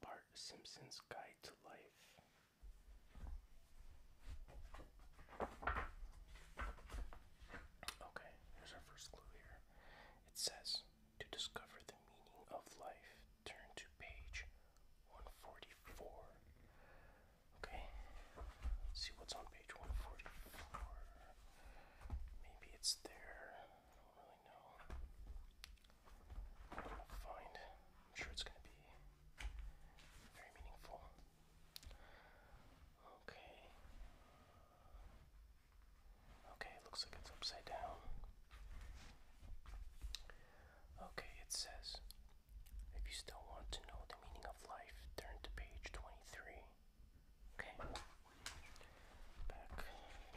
Bart Simpson's Guide to Life. Okay, here's our first clue here. It says, to discover the meaning of life, turn to page 144. Okay, see what's on page 144. Maybe it's their don't really know. I'm gonna find. I'm sure it's gonna be very meaningful. Okay. Okay, it looks like it's upside down. Okay, it says if you still want to know the meaning of life, turn to page 23. Okay. Back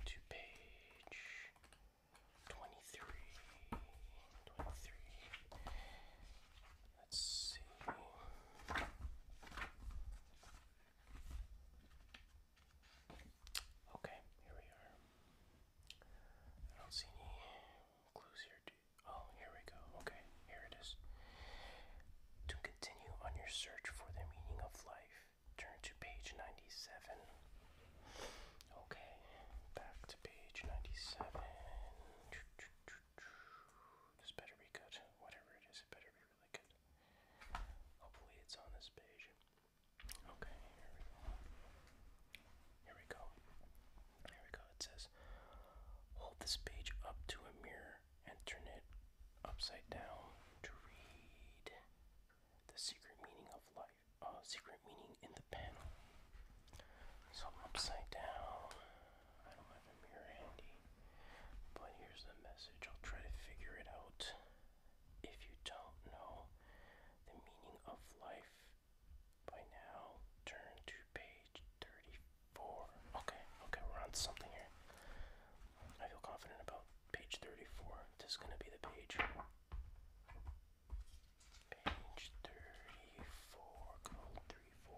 to page 23. 23. Let's see. Okay, here we are. I don't see any clues here. oh, here we go. Okay, here it is. To continue on your search for the meaning of life, Turn to page 97. Okay, back to page 97. This better be good. Whatever it is, it better be really good. Hopefully, it's on this page. Okay, here we go. Here we go. Here we go. It says hold this page up to a mirror and turn it upside down to read. The secret meaning of life. Uh, secret meaning in the panel. So upside down. I don't have a mirror handy. But here's the message. I'll try to figure it out. If you don't know the meaning of life by now, turn to page 34. Okay, okay, we're on something here. I feel confident about page 34. This is going to be the page. Page 34, code 34.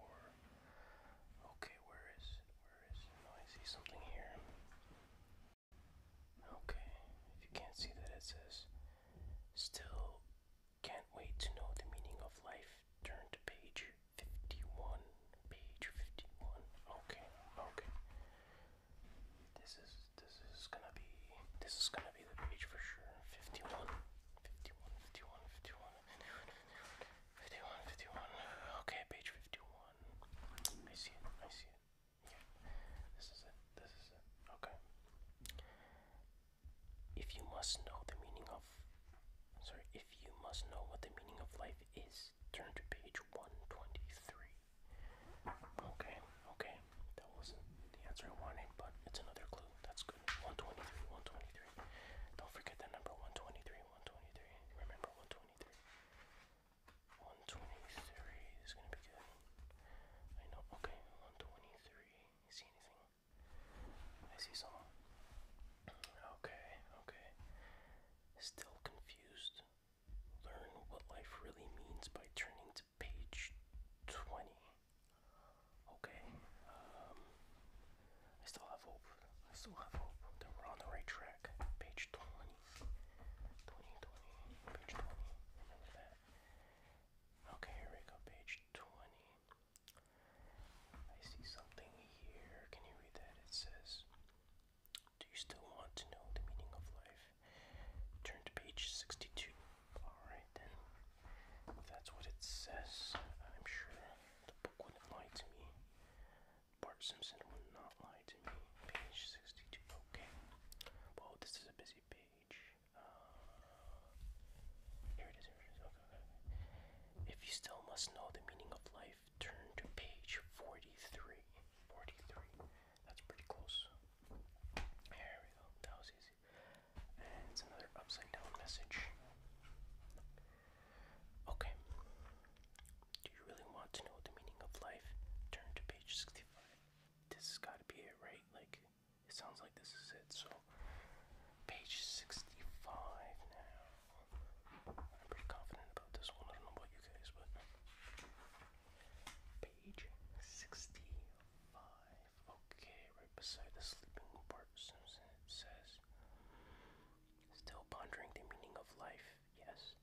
Okay, where is it? Where is it? Oh, I see something here. Okay, if you can't see that, it says, Still can't wait to know the meaning of life. Turn to page 51. Page 51. Okay, okay. This is this is gonna be this is gonna be the page for sure. 51, 51, 51, 51, 51, 51. Okay, page 51. I see it. I see it. Yeah. This is it. This is it. Okay. If you must know the meaning of sorry, if you must know what the meaning of life is, turn to page 123. Okay, okay, that wasn't the answer I wanted, but it's another clue. That's good. 123, 123. Don't forget the number 123, 123. Remember 123. 123 is gonna be good. I know. Okay, 123. see anything? I see someone. Okay, okay. Still confused. Learn what life really means by turning to page 20. Okay, um, I still have hope. I still have hope that we're on the right track. Page 20. Page 20. Okay, here we go. Page 20. I see something here. Can you read that? It says do you still want to know the meaning of life? Turn to page 62. Alright then. That's what it says. I'm sure the book wouldn't lie to me. Bart Simpson would not lie to me. Page 62. Okay. Well, this is a busy page. Uh, here it is. Here it is. okay. If you still must know the meaning of life, turn to page 43. 43. That's pretty close. There we go. That was easy. it's another upside down message. Okay. Do you really want to know the meaning of life? Turn to page 65. This has got to be it, right? Like, it sounds like this is it. So, page 65 now. I'm pretty confident about this one. I don't know about you guys, but page 65. Okay, right beside the sleeping Bart Simpson, it says, Still pondering the meaning of life, yes.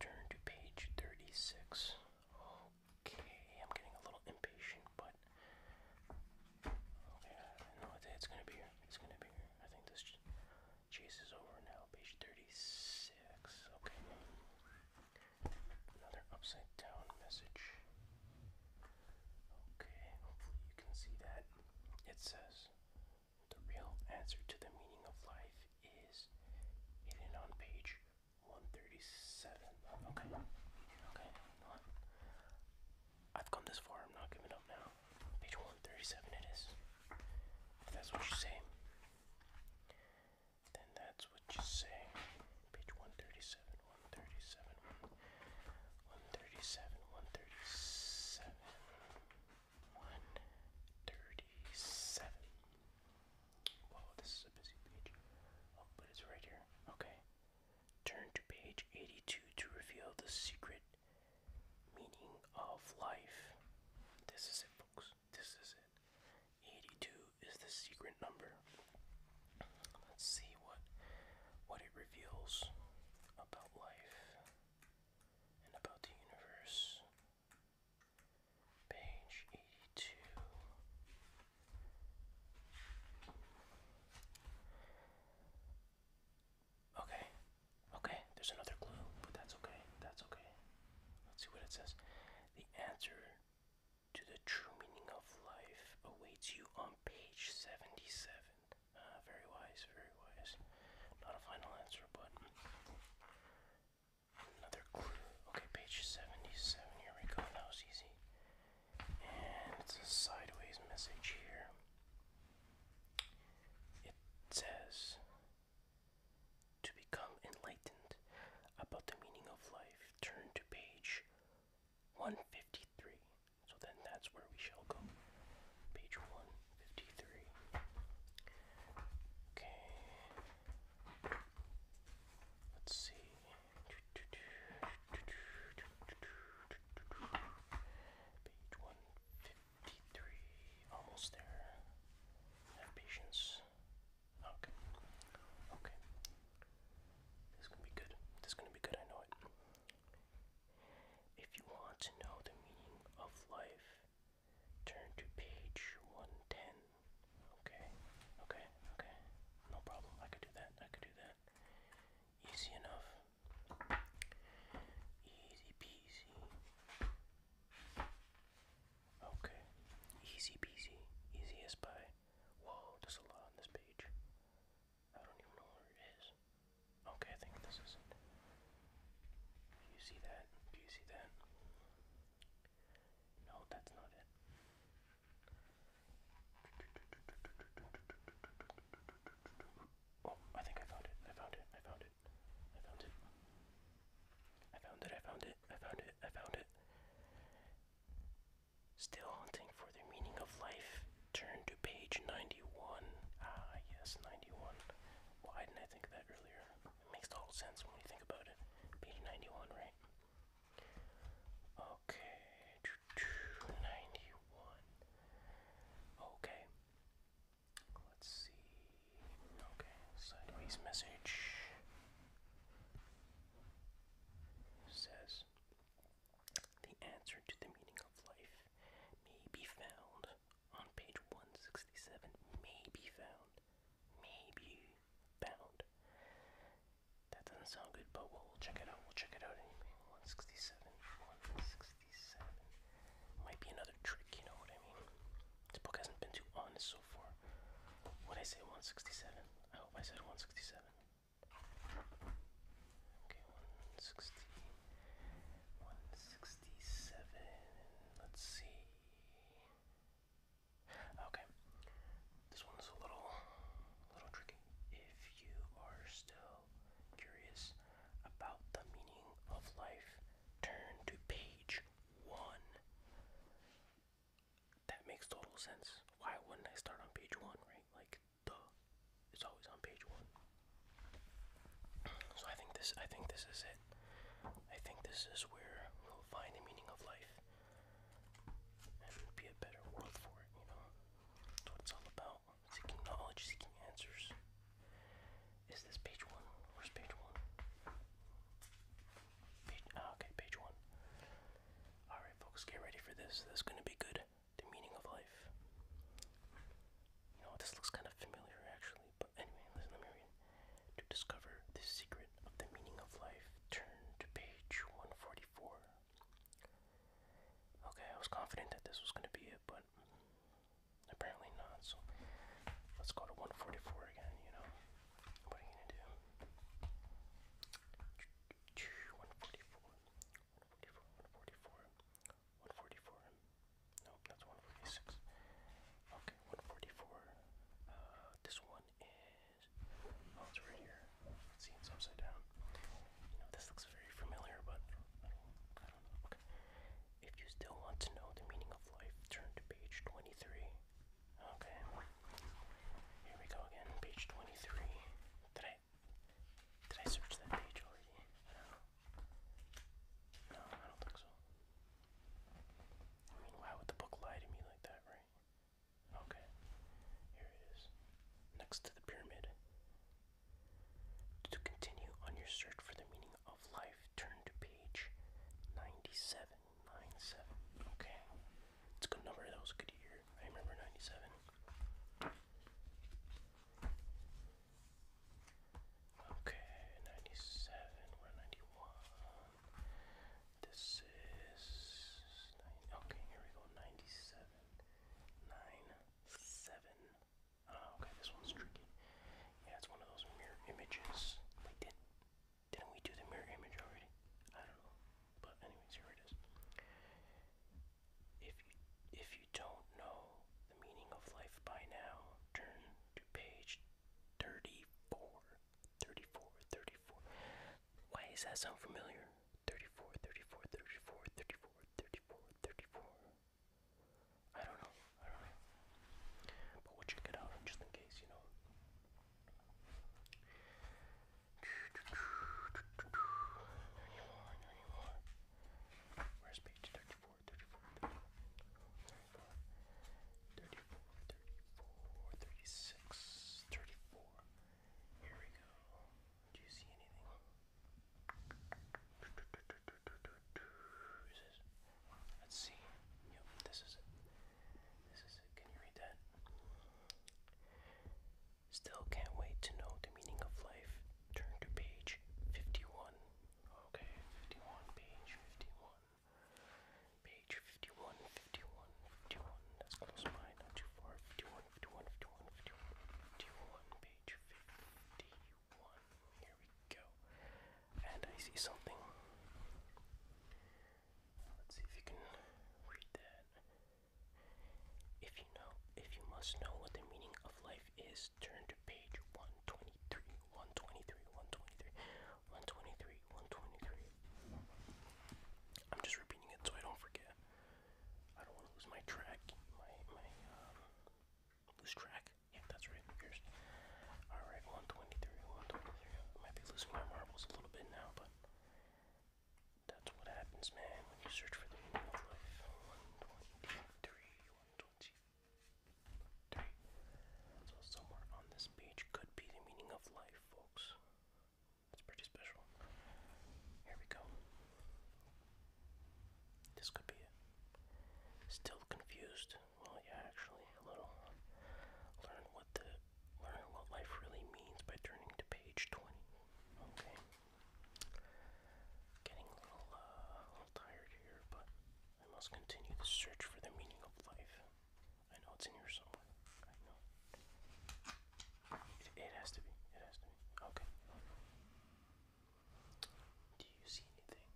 Turn to page 36. Okay, I'm getting a little impatient, but. Okay, I don't know what day it's gonna be here. It's gonna be here. I think this Chase is over now. Page 36. Okay. Another upside down message. Okay, hopefully you can see that. It says the real answer to the meaning of life is hidden on page 137. Okay. Okay, I've come this far, I'm not giving up now. Page 137 it is. If that's what you say. Then that's what you say. Page 137, 137, 137, 137, 137. Whoa, this is a busy page. Oh, but it's right here. Okay. Turn to page 82 to reveal the secret meaning of life. This is it, folks. This is it. 82 is the secret number. Let's see what what it reveals about life and about the universe. Page 82. Okay. Okay. There's another clue, but that's okay. That's okay. Let's see what it says. The answer to the true meaning of life awaits you on page 77. Uh, very wise, very wise. Not a final answer, but another clue. Okay, page 77. Here we go. That was easy. And it's a sideways message here. It says to become enlightened about the meaning of life, turn to page 153. So then that's where we shall go. Page 153. Okay. Let's see. Page 153. 53. Almost there. Have patience. Okay. Okay. This gonna be good. This gonna be good, I know it. If you want to know the meaning of life, turn to page 110. Okay, okay, okay. No problem. I could do that. I could do that. Easy enough. Easy peasy. Okay. Easy peasy. Easiest by. Whoa, there's a lot on this page. I don't even know where it is. Okay, I think this is it. Do you see that? Do you see that? No, that's not it. Oh, I think I found it. I found it. I found it. I found it. I found it. I found it. I found it. I found it. Still hunting for the meaning of life. Turn to page 91. Ah, yes, 91. Why didn't I think of that earlier? It makes total sense when you think about it. Page 91, right? Okay. 91. Okay. Let's see. Okay, sideways message says the answer to the meaning of life may be found on page 167. May be found. May found. That doesn't sound good, but we'll check it out. We'll check it out anyway. 167. 167. Might be another trick, you know what I mean? This book hasn't been too honest so far. When I say 167? I hope I said 167. Okay, 160. 167. Let's see. Okay. This one's a little, a little tricky. If you are still Curious about the meaning of life, turn to page one. That makes total sense. Why wouldn't I start on page one, right? Like, duh, it's always on page one. So I think this, I think this is it. I think this is where we'll find the meaning of life and be a better world for it. You know, that's what it's all about seeking knowledge, seeking answers. Is this page one? Where's page one? Page, ah, okay, page one. Alright, folks, get ready for this. This is going to be good. The meaning of life. You know, what? this looks kind of familiar actually, but anyway, listen, let me To discover the secret of the meaning of life, turn to page 144. Okay, I was confident that this was going to be it, but apparently not. So let's go to 144 again, you know. What are you going to do? 144, 144, 144, 144. Nope, that's 146. Okay, 144. Uh, this one is. Oh, it's right here. See, it's upside down. You know, this looks very familiar, but I don't, know. Okay. If you still want to know the meaning of life, turn to page 23. Okay. Here we go again, page 23. Did I, did I search that page already? I No, I don't think so. I mean, why would the book lie to me like that, right? Okay, here it is, next to the pyramid. To continue on your search for the meaning of life, turn to page 97. Okay, it's a good number. That was a good year. I remember 97. Okay, 97, we're at 91. This is, okay, here we go, 97 nine, seven. Oh, okay, this one's tricky. Yeah, it's one of those mirror images. Like, did, didn't we do the mirror image already? I don't know. But anyways, here it is. If you, if you don't know the meaning of life by now, turn to page 34. Why does that sound familiar? 34, 34, 34, 34, 34, 34. I don't know. I don't know. But we'll check it out just in case, you know. Anymore, anymore. Where's page 34, 34, 34, 34, 34, 34, 36, 34. Here we go. Do you see anything? Let's see. Yep, this is it. This is it. Can you read that? Still can't wait to know the meaning of life. Turn to page 51. Okay, 51, page 51. Page 51, 51, that's close by, not too far. 51, 51, 51, 51, 51, page Here we go. And I see something. Let's see if you can read that. If you know, if you must know what the meaning of life is, turn to page 123, 123, 123, 123, 123. I'm just repeating it so I don't forget. I don't want to lose my track. My my um, lose track. Yeah, that's right. all right. 123, 123. might be losing my marbles a little bit now, but that's what happens, man. When you search for the meaning of life. 123, 123. So somewhere on this page could be the meaning of life, folks. It's pretty special. Here we go. This could be it. Still confused. Well, yeah, actually, a little. Learn what the learn what life really means by turning to page twenty. Okay. Getting a little, uh, a little tired here, but I must continue the search for the meaning of life. I know it's in here somewhere. I know. It, has to be. It has to be. Okay. Do you see anything?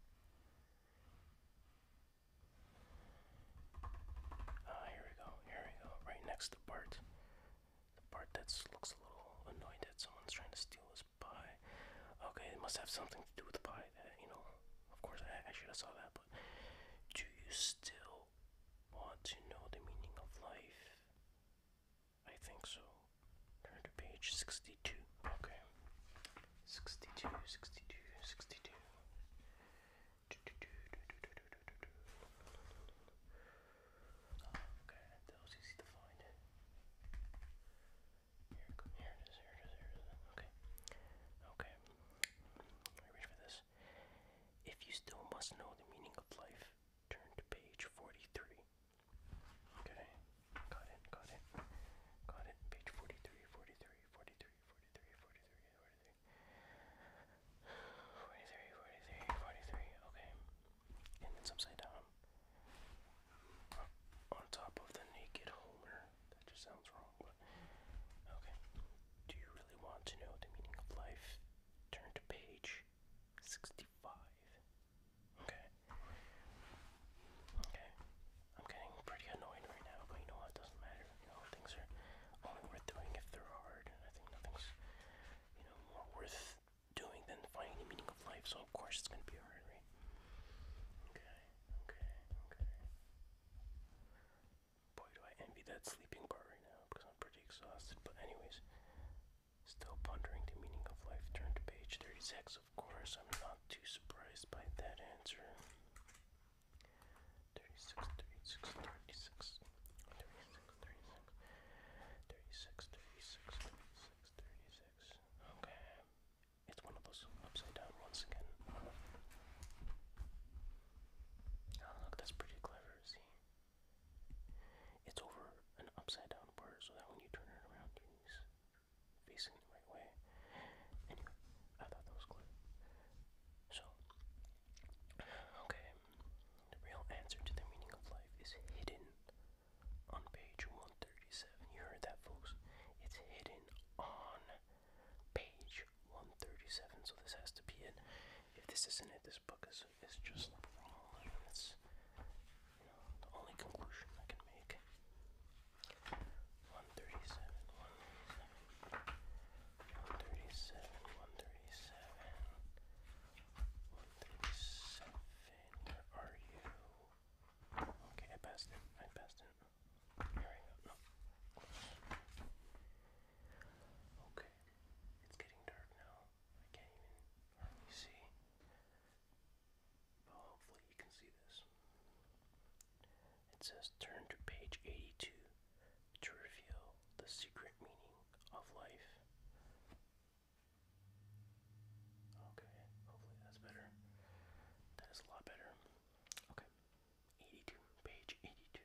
Ah, here we go. Here we go. Right next to Bart. The part that looks a little annoyed that someone's trying to steal his pie. Okay, it must have something to do with the pie. you know, of course I should have saw that. But do you still want to know the meaning of life? I think so. Turn to page 62. Okay. 62, okay, that was easy to find. Here, it is, here it is, here it is. Okay. Okay. Let reach for this. If you still must know the meaning of life, turn to page 43. Okay, got it, got it, got it. Page 43, okay. And it's upside down. On top of the naked Homer. That just sounds wrong. Okay. Do you really want to know the meaning of life? Turn to page 65. Okay. Okay. I'm getting pretty annoyed right now, but you know what? doesn't matter. You know, things are only worth doing if they're hard. I think nothing's, you know, more worth doing than finding the meaning of life. So, of course, it's going to be hard, right? Okay. Okay. Okay. Boy, do I envy that sleeping part right now because I'm pretty exhausted. But, anyways, still pondering the meaning of life. Turn to page 36, of course. I'm not too surprised by that answer. 36, 36, 36, 36, 36, 36, 36, 36, 36. Okay. It's one of those upside down once again. Oh, look, that's pretty clever. See, it's over an upside down bar so that when you turn it around, your knees facing the right way. Anyway, I thought that was clever. So, okay, the real answer to the meaning of life is hidden on page 137. You heard that, folks. It's hidden on page 137, so this has to be it. If this isn't it, this book is, is just wrong. That's the only conclusion I can make. 137, 137, 137, 137. Where are you? Okay, I passed it. I passed it. Airing up. No. Okay. It's getting dark now. I can't even see. But hopefully you can see this. It says turn to page 82 to reveal the secret meaning of life. Okay, hopefully that's better. That is a lot better. Okay. 82, page 82.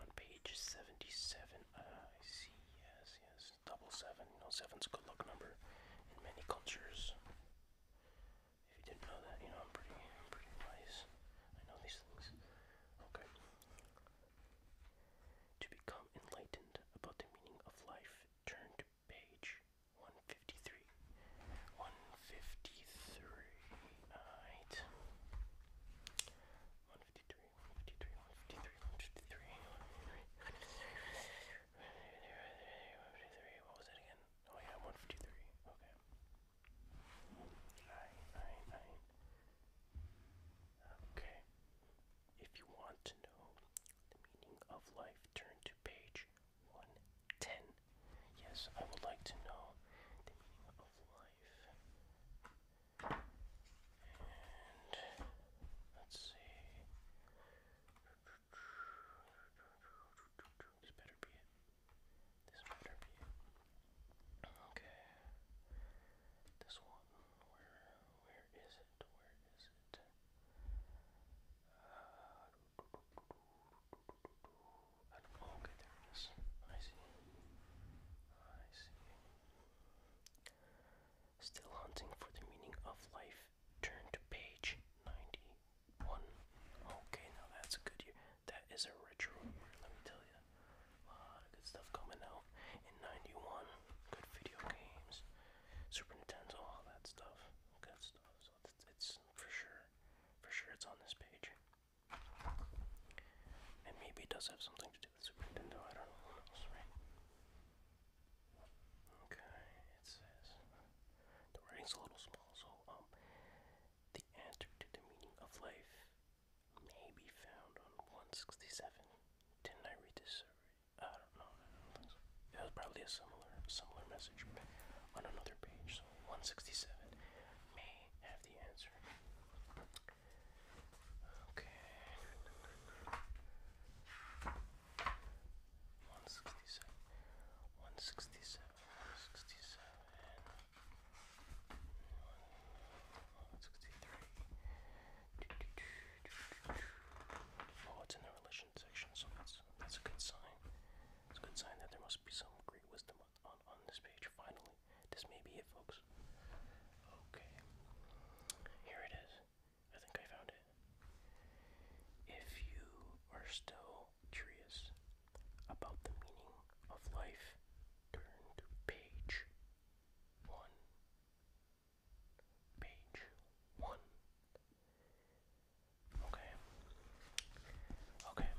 on page 77. I see, yes, yes. Double seven. You know, seven's a good luck number in many cultures. If you didn't know that, you know, I'm pretty, pretty wise. I know these things. Okay. To become enlightened about the meaning of life, turn to page 153. 153. Alright. 153. What was it again? Oh yeah, 153. Okay. Alright, Okay. If you want to know the meaning of life, turn to page 110. Yes, I would like to know the meaning of life let's see. This better be it. This better be it. Okay. This one. Where? Where is it? Where is it? I don't know. Okay, there it is. I see. I see. Still hunting for the meaning of life. Turn to page 91. Okay, now that's a good year. That is a retro let me tell you. A lot of good stuff coming out in 91. Good video games, Super Nintendo, all that stuff. Good stuff. So it's, for sure. For sure, it's on this page. And maybe does have something to to Okay, it says the writing's a little small, so um, the answer to the meaning of life may be found on 167. Didn't I read this I don't know, It was probably a similar similar message on another page, so 167 may have the answer. Okay. One sixty seven. One sixty seven. One sixty three. Oh, it's in the relation section, so that's that's a good sign. It's a good sign that there must be some great wisdom on, this page, finally. This may be it, folks. Okay. Here it is. I think I found it. If you are still curious about the meaning of life, turn to page one. Page one. Okay. Okay.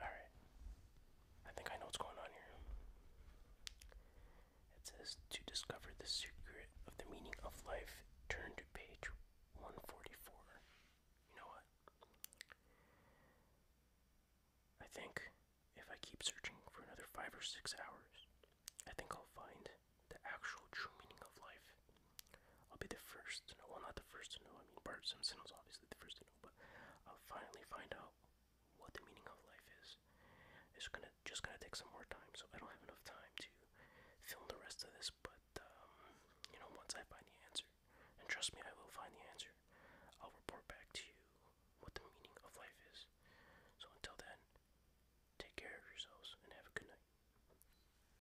Alright. I think I know what's going on here. It says to discover the secret of the meaning of life, turn to page 144. You know what? I think if I keep searching for another five or six hours, I think I'll find the actual true meaning of life. I'll be the first to know. Well, not the first to know. I mean, Bart Simpson was obviously the first to know, but I'll finally find out what the meaning of life is. It's gonna just gonna take some more time, so I don't have enough time to film the rest of this. But um, you know, once I find the answer, and trust me, I will find the answer. I'll report back to you what the meaning of life is. So until then, take care of yourselves and have a good night.